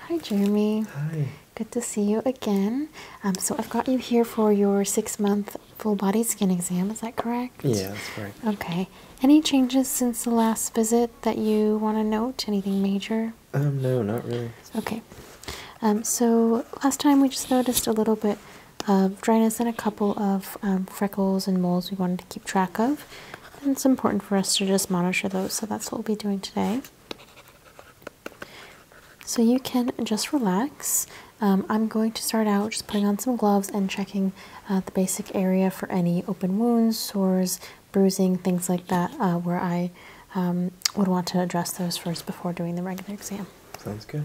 Hi, Jeremy. Hi. Good to see you again. Um, so I've got you here for your six-month full-body skin exam. Is that correct? Yeah, that's correct. Okay. Any changes since the last visit that you want to note? Anything major? Um, no, not really. Okay. Um, so last time we just noticed a little bit uh, um, dryness and a couple of um, freckles and moles we wanted to keep track of. And it's important for us to just monitor those, so that's what we'll be doing today. So you can just relax. Um, I'm going to start out just putting on some gloves and checking uh, the basic area for any open wounds, sores, bruising, things like that, uh, where I would want to address those first before doing the regular exam. Sounds good.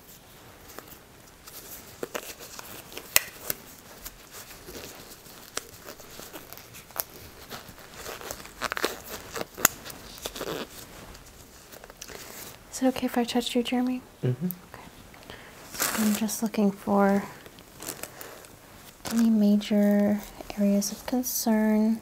Is it okay if I touch you, Jeremy? Mm-hmm. I'm just looking for any major areas of concern.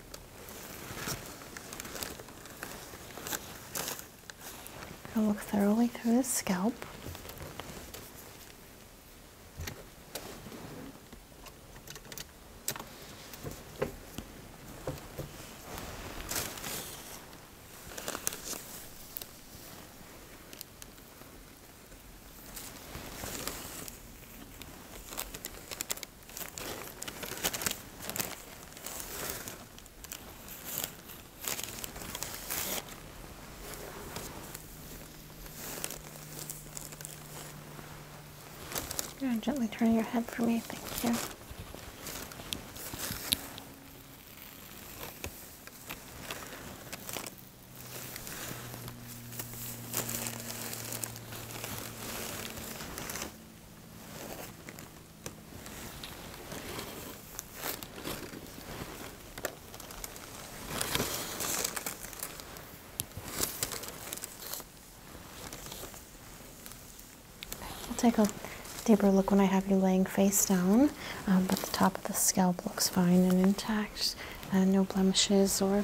I'll look thoroughly through the scalp gently turn your head for me, thank you. We'll take a deeper look when I have you laying face down, um, but the top of the scalp looks fine and intact. and uh, no blemishes or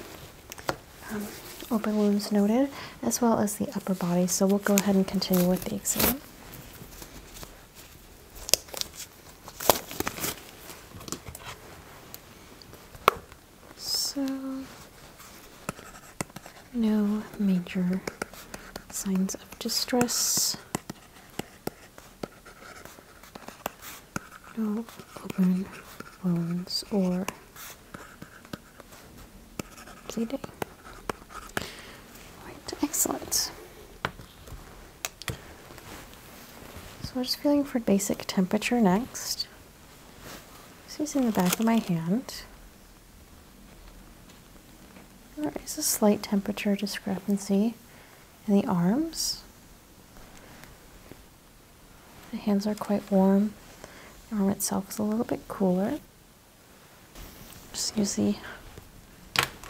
open wounds noted, as well as the upper body. So we'll go ahead and continue with the exam. So, no major signs of distress no open wounds or bleeding. excellent. So we're just feeling for basic temperature next. Just using the back of my hand. There is a slight temperature discrepancy in the arms. The hands are quite warm. The arm itself is a little bit cooler. Just use the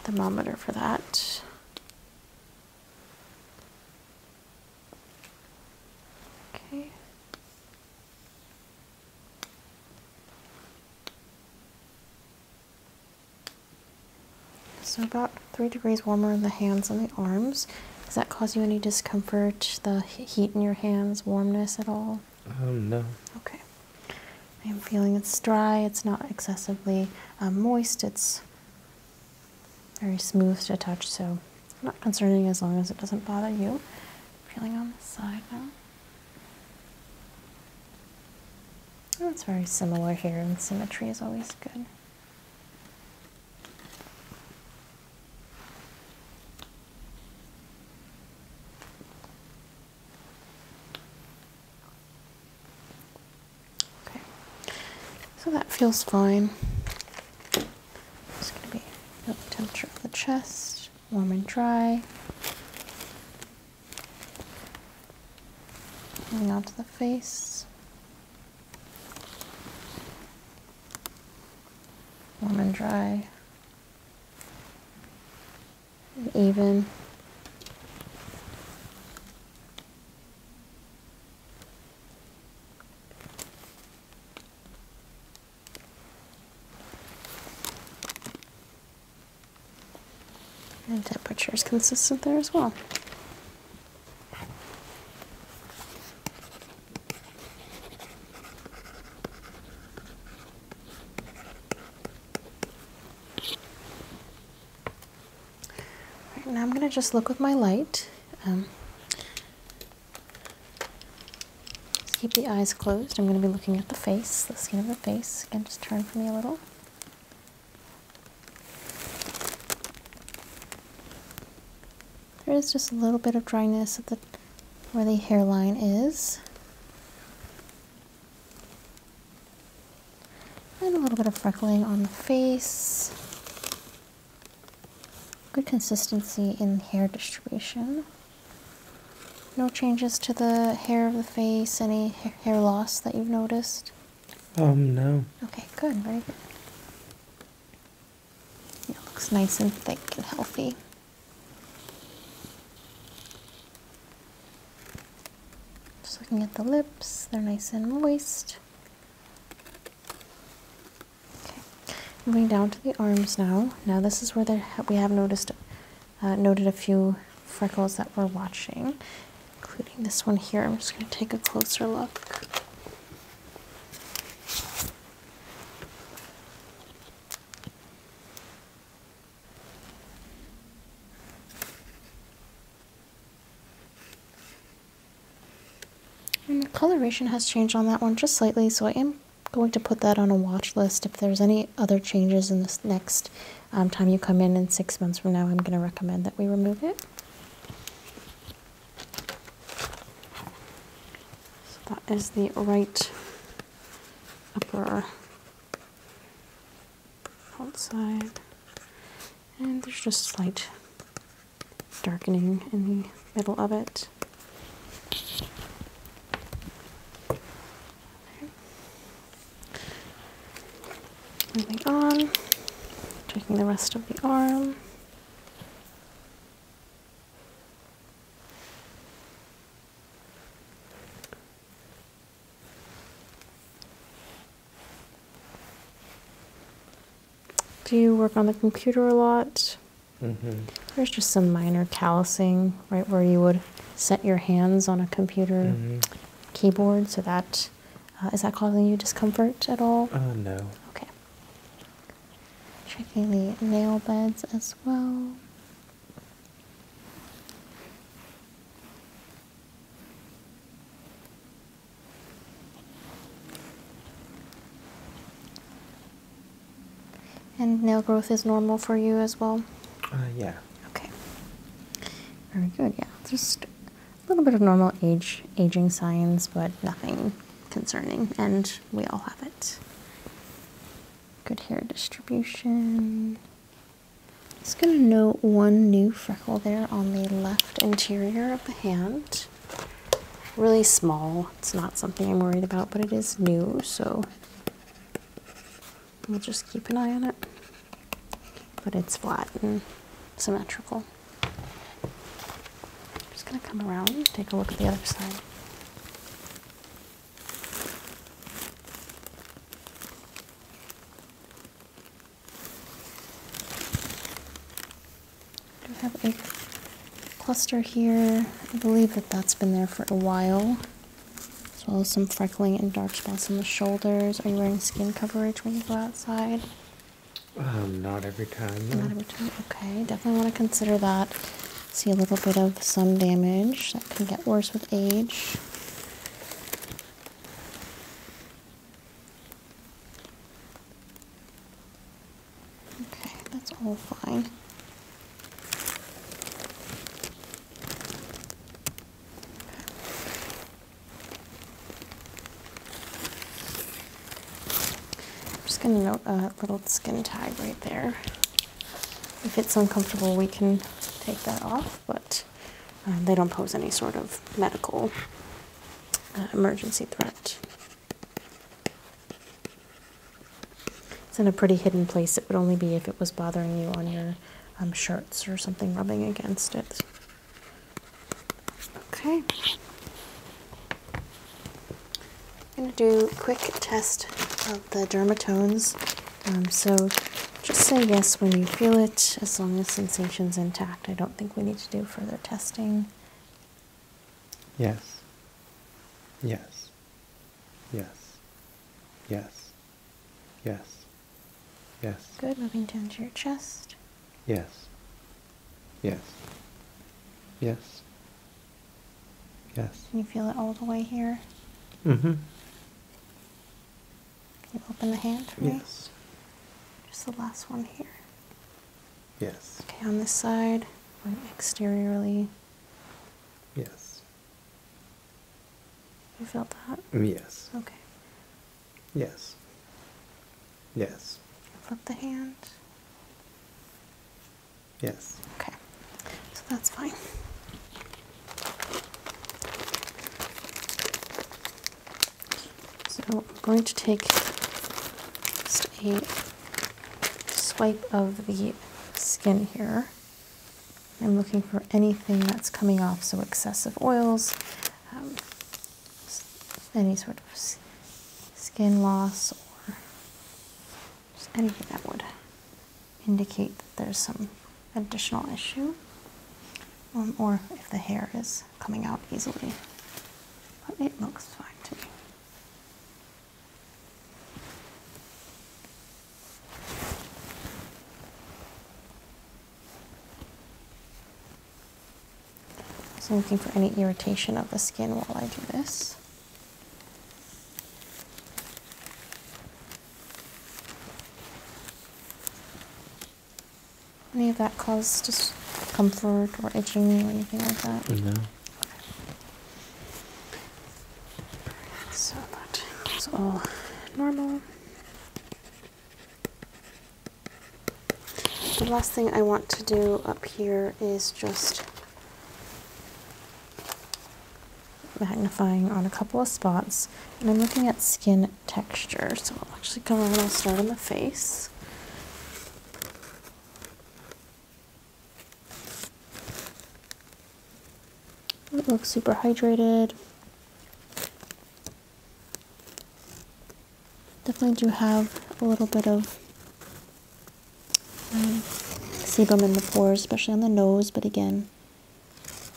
thermometer for that. Okay. So about three degrees warmer in the hands and the arms. Does that cause you any discomfort? The heat in your hands, warmness at all? Um, no. Okay. I am feeling it's dry. It's not excessively um, moist. It's very smooth to touch, so not concerning as long as it doesn't bother you. Feeling on the side now. Oh, it's very similar here, symmetry is always good. Okay, so that feels fine. It's going to be temperature of the chest, warm and dry. Moving on to the face warm and dry and even. And temperature is consistent there as well now I'm going to just look with my light. Um, keep the eyes closed. I'm going to be looking at the face, the skin of the face. Again, just turn for me a little. There is just a little bit of dryness at the where the hairline is. And a little bit of freckling on the face. Good consistency in hair distribution. No changes to the hair of the face, any hair loss that you've noticed? Um, no. Okay, good, very good. It looks nice and thick and healthy. Just looking at the lips, they're nice and moist. Okay, moving down to the arms now. Now this is where we have noticed uh, noted a few freckles that we're watching, including this one here. I'm just going to take a closer look. And the coloration has changed on that one just slightly, so I am going to put that on a watch list. If there's any other changes in this next um, time you come in in six months from now, I'm going to recommend that we remove it. So that is the right upper outside. And there's just slight darkening in the middle of it. Moving on, taking the rest of the arm. Do you work on the computer a lot? Mm-hmm. There's just some minor callousing right where you would set your hands on a computer mm-hmm. keyboard. So that uh, is that causing you discomfort at all? Uh, no. Okay. Checking the nail beds as well. And nail growth is normal for you as well? Uh, yeah. Okay. Very good, yeah. Just a little bit of normal age aging signs, but nothing concerning, and we all have it. Good hair distribution. Just going to note one new freckle there on the left interior of the hand. Really small. It's not something I'm worried about, but it is new, so we'll just keep an eye on it. But it's flat and symmetrical. I'm just going to come around and take a look at the other side. Do you have a cluster here. I believe that that's been there for a while. As well as some freckling and dark spots on the shoulders. Are you wearing skin coverage when you go outside? Um, not every time. Not every time. Okay, definitely want to consider that. See a little bit of some damage that can get worse with age. Okay, that's all fine. I'm just going to note a little skin tag right there. If it's uncomfortable, we can take that off, but uh, they don't pose any sort of medical uh, emergency threat. It's in a pretty hidden place. It would only be if it was bothering you on your um, shirts or something rubbing against it. Okay. I'm going to do a quick test of the dermatones. Um, so just say yes when you feel it, as long as sensation's intact. I don't think we need to do further testing. Yes. Yes. Yes. Yes. Yes. Yes. Good. Moving down to your chest. Yes. Yes. Yes. Yes. Can you feel it all the way here? Mm-hmm. Can you open the hand for yes. me? Yes. Just the last one here. Yes. Okay, on this side, one exteriorly. Yes. You felt that? Mm, yes. Okay. Yes. Yes. Flip the hand. Yes. Okay. So that's fine. So I'm going to take a swipe of the skin here. I'm looking for anything that's coming off, so excessive oils, um, any sort of skin loss or anything that would indicate that there's some additional issue um, or if the hair is coming out easily. But it looks fine to me. So I'm looking for any irritation of the skin while I do this. Any of that cause discomfort or itching or anything like that? No. So that is all normal. The last thing I want to do up here is just magnifying on a couple of spots and I'm looking at skin texture so I'll actually come on and start on the face it looks super hydrated Definitely do have a little bit of um, sebum in the pores, especially on the nose, but again,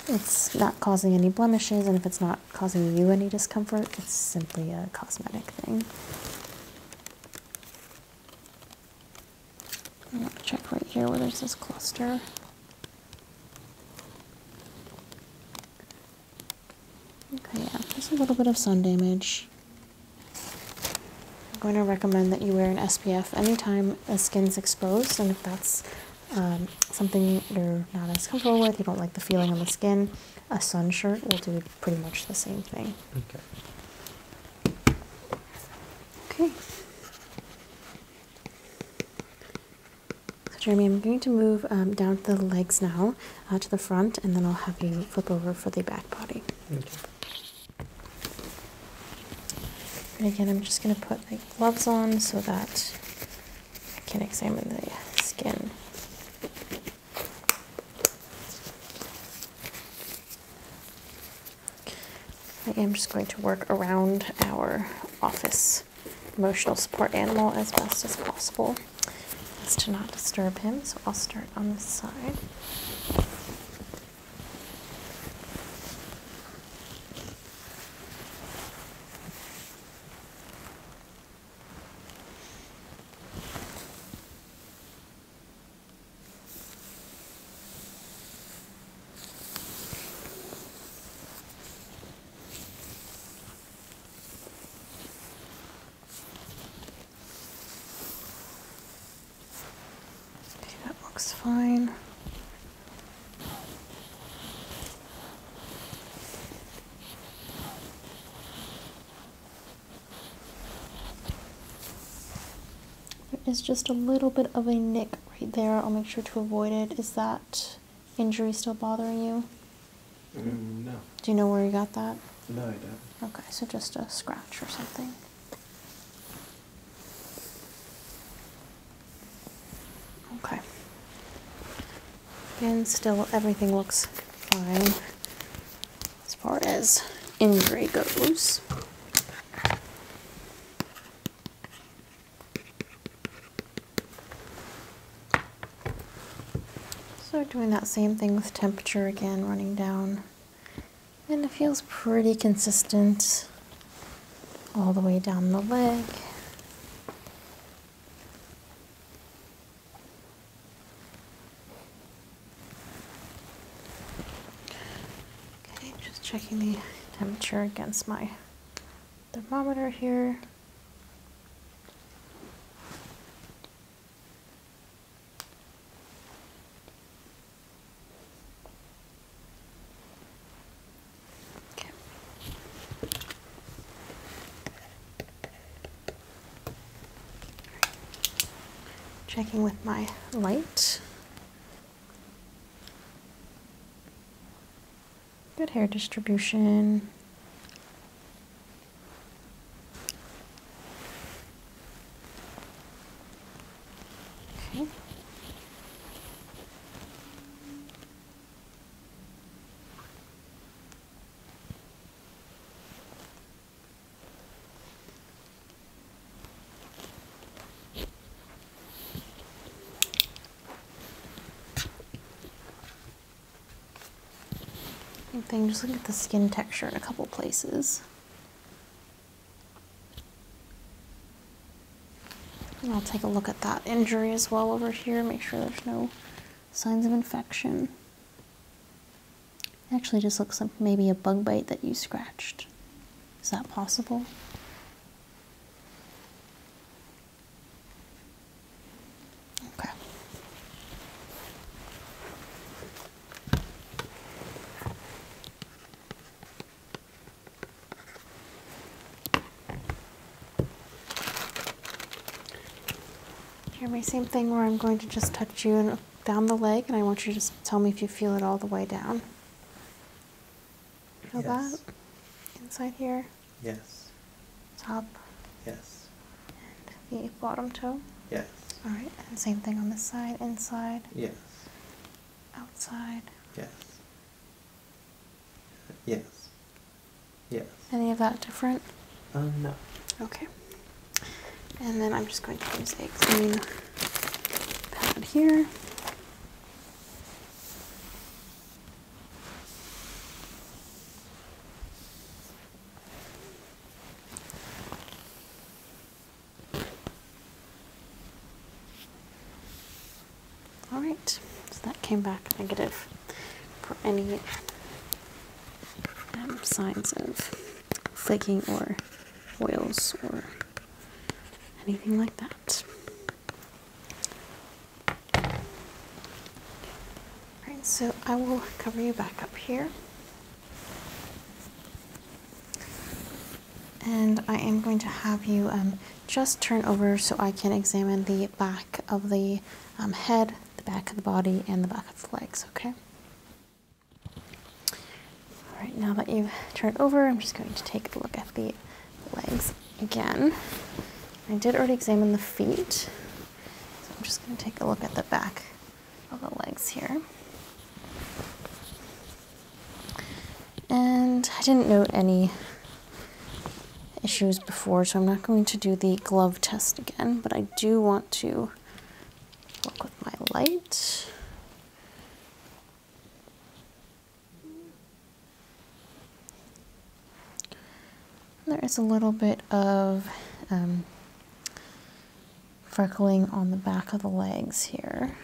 it's not causing any blemishes, and if it's not causing you any discomfort, it's simply a cosmetic thing. I'm check right here where there's this cluster. Okay, yeah, there's a little bit of sun damage. I'm going to recommend that you wear an SPF anytime the skin's exposed, and if that's um, something you're not as comfortable with, you don't like the feeling on the skin, a sun shirt will do pretty much the same thing. Okay. Okay. So Jeremy, I'm going to move um, down to the legs now, uh, to the front, and then I'll have you flip over for the back body. Okay. And again, I'm just going to put like gloves on so that I can examine the skin. I am just going to work around our office emotional support animal as best as possible as to not disturb him. So I'll start on this side that looks fine. There is just a little bit of a nick right there. I'll make sure to avoid it. Is that injury still bothering you? Mm, no. Do you know where you got that? No, I don't. Okay, so just a scratch or something. Okay. And still, everything looks fine as far as injury goes. So doing that same thing with temperature again, running down. And it feels pretty consistent all the way down the leg. Okay, just checking the temperature against my thermometer here. Checking with my light. Good hair distribution. Okay. Same thing, just look at the skin texture in a couple places. I'll take a look at that injury as well over here, make sure there's no signs of infection. It actually just looks like maybe a bug bite that you scratched. Is that possible? Okay. Hear me, same thing where I'm going to just touch you down the leg, and I want you to just tell me if you feel it all the way down. Feel that? Inside here? Yes. Top? Yes. And the bottom toe? Yes. Alright, and same thing on the side, inside? Yes. Outside? Yes. Yes. Yes. Any of that different? Um, no. Okay. And then I'm just going to use a clean pad here. All right, so that came back negative for any um, signs of flaking or oils or anything like that. Alright, so I will cover you back up here. And I am going to have you um, just turn over so I can examine the back of the um, head, the back of the body, and the back of the legs, okay? Alright, now that you've turned over, I'm just going to take a look at the legs again. I did already examine the feet, so I'm just going to take a look at the back of the legs here. And I didn't note any issues before, so I'm not going to do the glove test again, but I do want to work with my light. There is a little bit of um, freckling on the back of the legs here.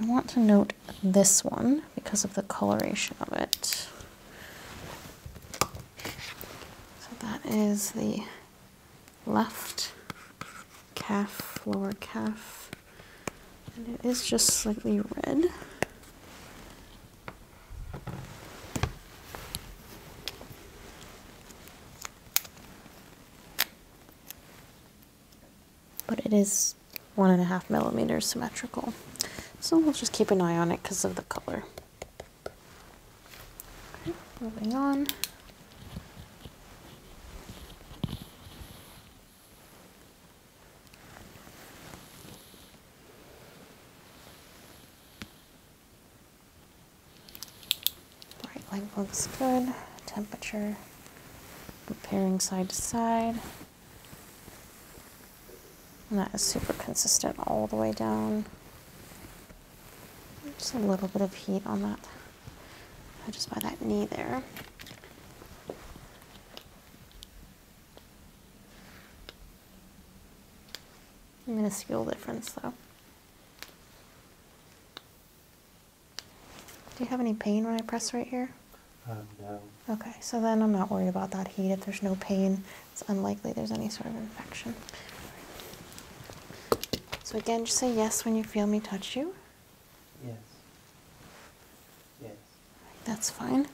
I want to note this one because of the coloration of it. So that is the left calf, lower calf, and it is just slightly red. But it is one and a half millimeters symmetrical. So we'll just keep an eye on it because of the color. Okay, moving on. Right leg looks good. Temperature comparing side to side. And that is super consistent all the way down. Just a little bit of heat on that, just by that knee there. I'm gonna minuscule difference though. Do you have any pain when I press right here? Um, no. Okay, so then I'm not worried about that heat. If there's no pain, it's unlikely there's any sort of infection. So again, just say yes when you feel me touch you. Yes. Yes. That's fine.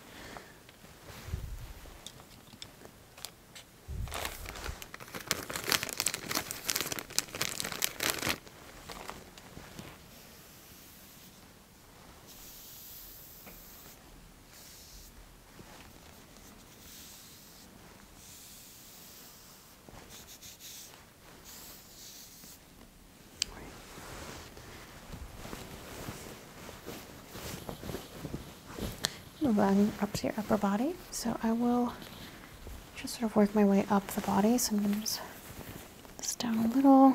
Run up to your upper body. So I will just sort of work my way up the body. So I'm going to just this down a little.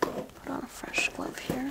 Put on a fresh glove here.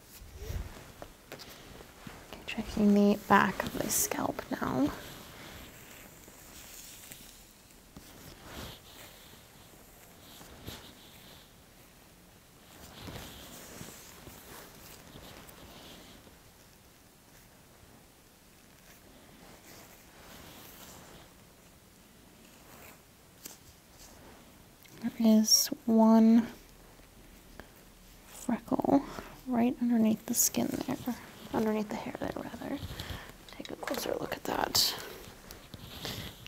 Checking the back of the scalp now. There is one freckle right underneath the skin there, underneath the hair there, rather. Take a closer look at that.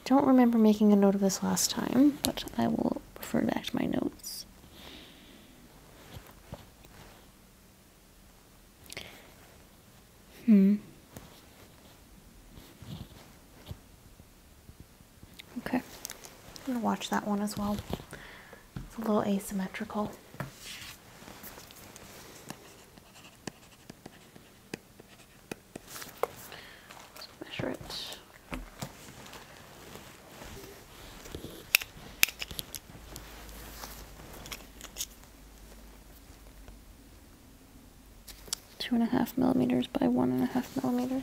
Don't remember making a note of this last time, but I will refer back to my notes. Hmm. Okay, I'm gonna watch that one as well. It's a little asymmetrical. So measure it two and a half millimeters by one and a half millimeters.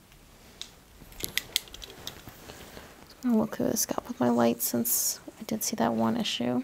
I'm gonna look through this gap with my light since I did see that one issue.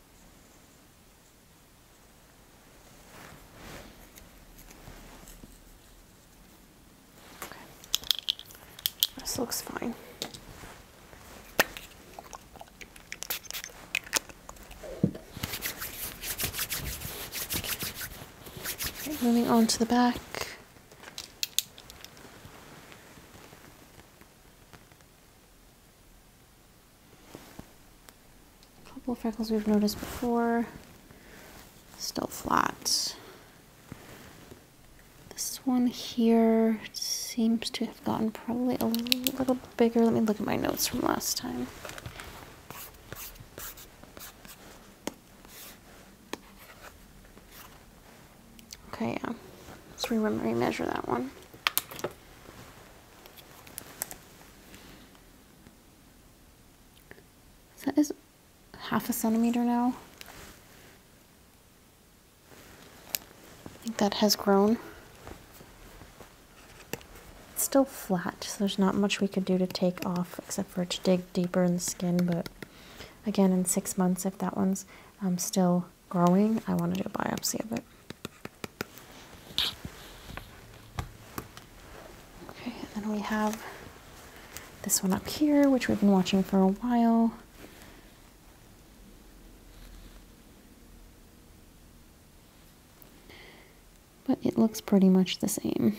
This looks fine. moving on to the back. A couple freckles we've noticed before, still flat. This one here seems to have gotten probably a little bigger. Let me look at my notes from last time. Okay, yeah. Let's re measure that one. that is half a centimeter now. I think that has grown. It's still flat, so there's not much we could do to take off except for to dig deeper in the skin, but again, in six months, if that one's um, still growing. I want to do a biopsy of it. Okay, and then we have this one up here, which we've been watching for a while. But it looks pretty much the same.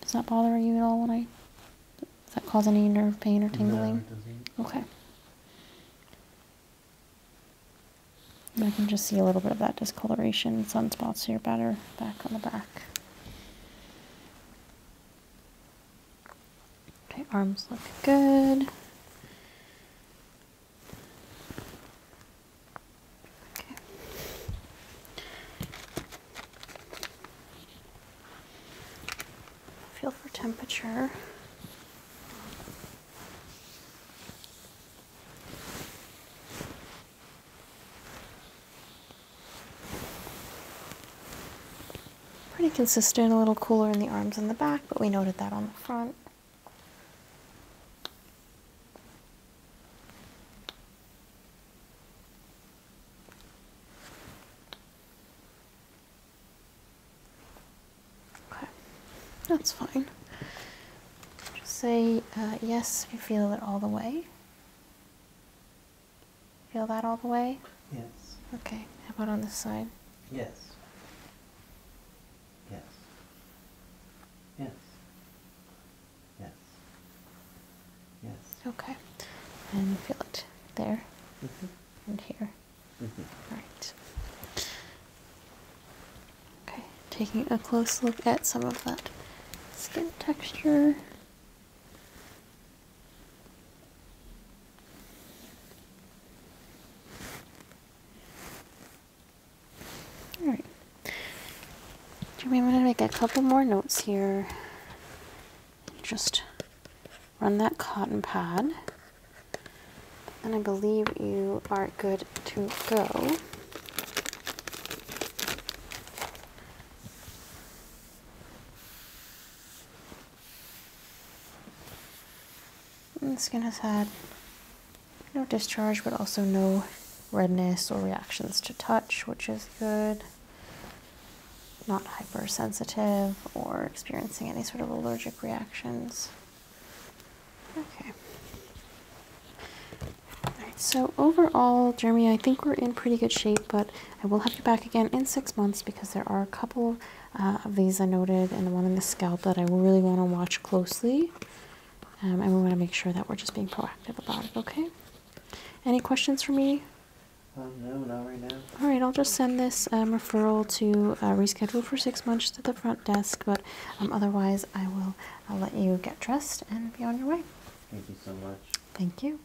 Does that bother you at all when I... Does that cause any nerve pain or tingling? okay. I can just see a little bit of that discoloration, sunspots here better, back on the back. Okay, arms look good. Feel for temperature. Pretty consistent, a little cooler in the arms and the back, but we noted that on the front. Okay, that's fine. Just say uh, yes you feel it all the way. Feel that all the way? Yes. Okay, how about on this side? Yes. Yes. Yes. Yes. Yes. Okay. And feel it there mm-hmm. and here. All mm-hmm. right. Okay. Taking a close look at some of that skin texture. All right. Jimmy, I'm to make a couple more notes here just run that cotton pad. And I believe you are good to go. the skin has had no discharge, but also no redness or reactions to touch, which is good not hypersensitive or experiencing any sort of allergic reactions. Okay. Alright, so overall, Jeremy, I think we're in pretty good shape, but I will have you back again in six months because there are a couple uh, of these I noted and the one in the scalp that I really want to watch closely. Um, and we want to make sure that we're just being proactive about it, okay? Any questions for me um, no, not right now. All right, I'll just send this um, referral to uh, reschedule for six months to the front desk, but um, otherwise I'll let you get dressed and be on your way. Thank you so much. Thank you.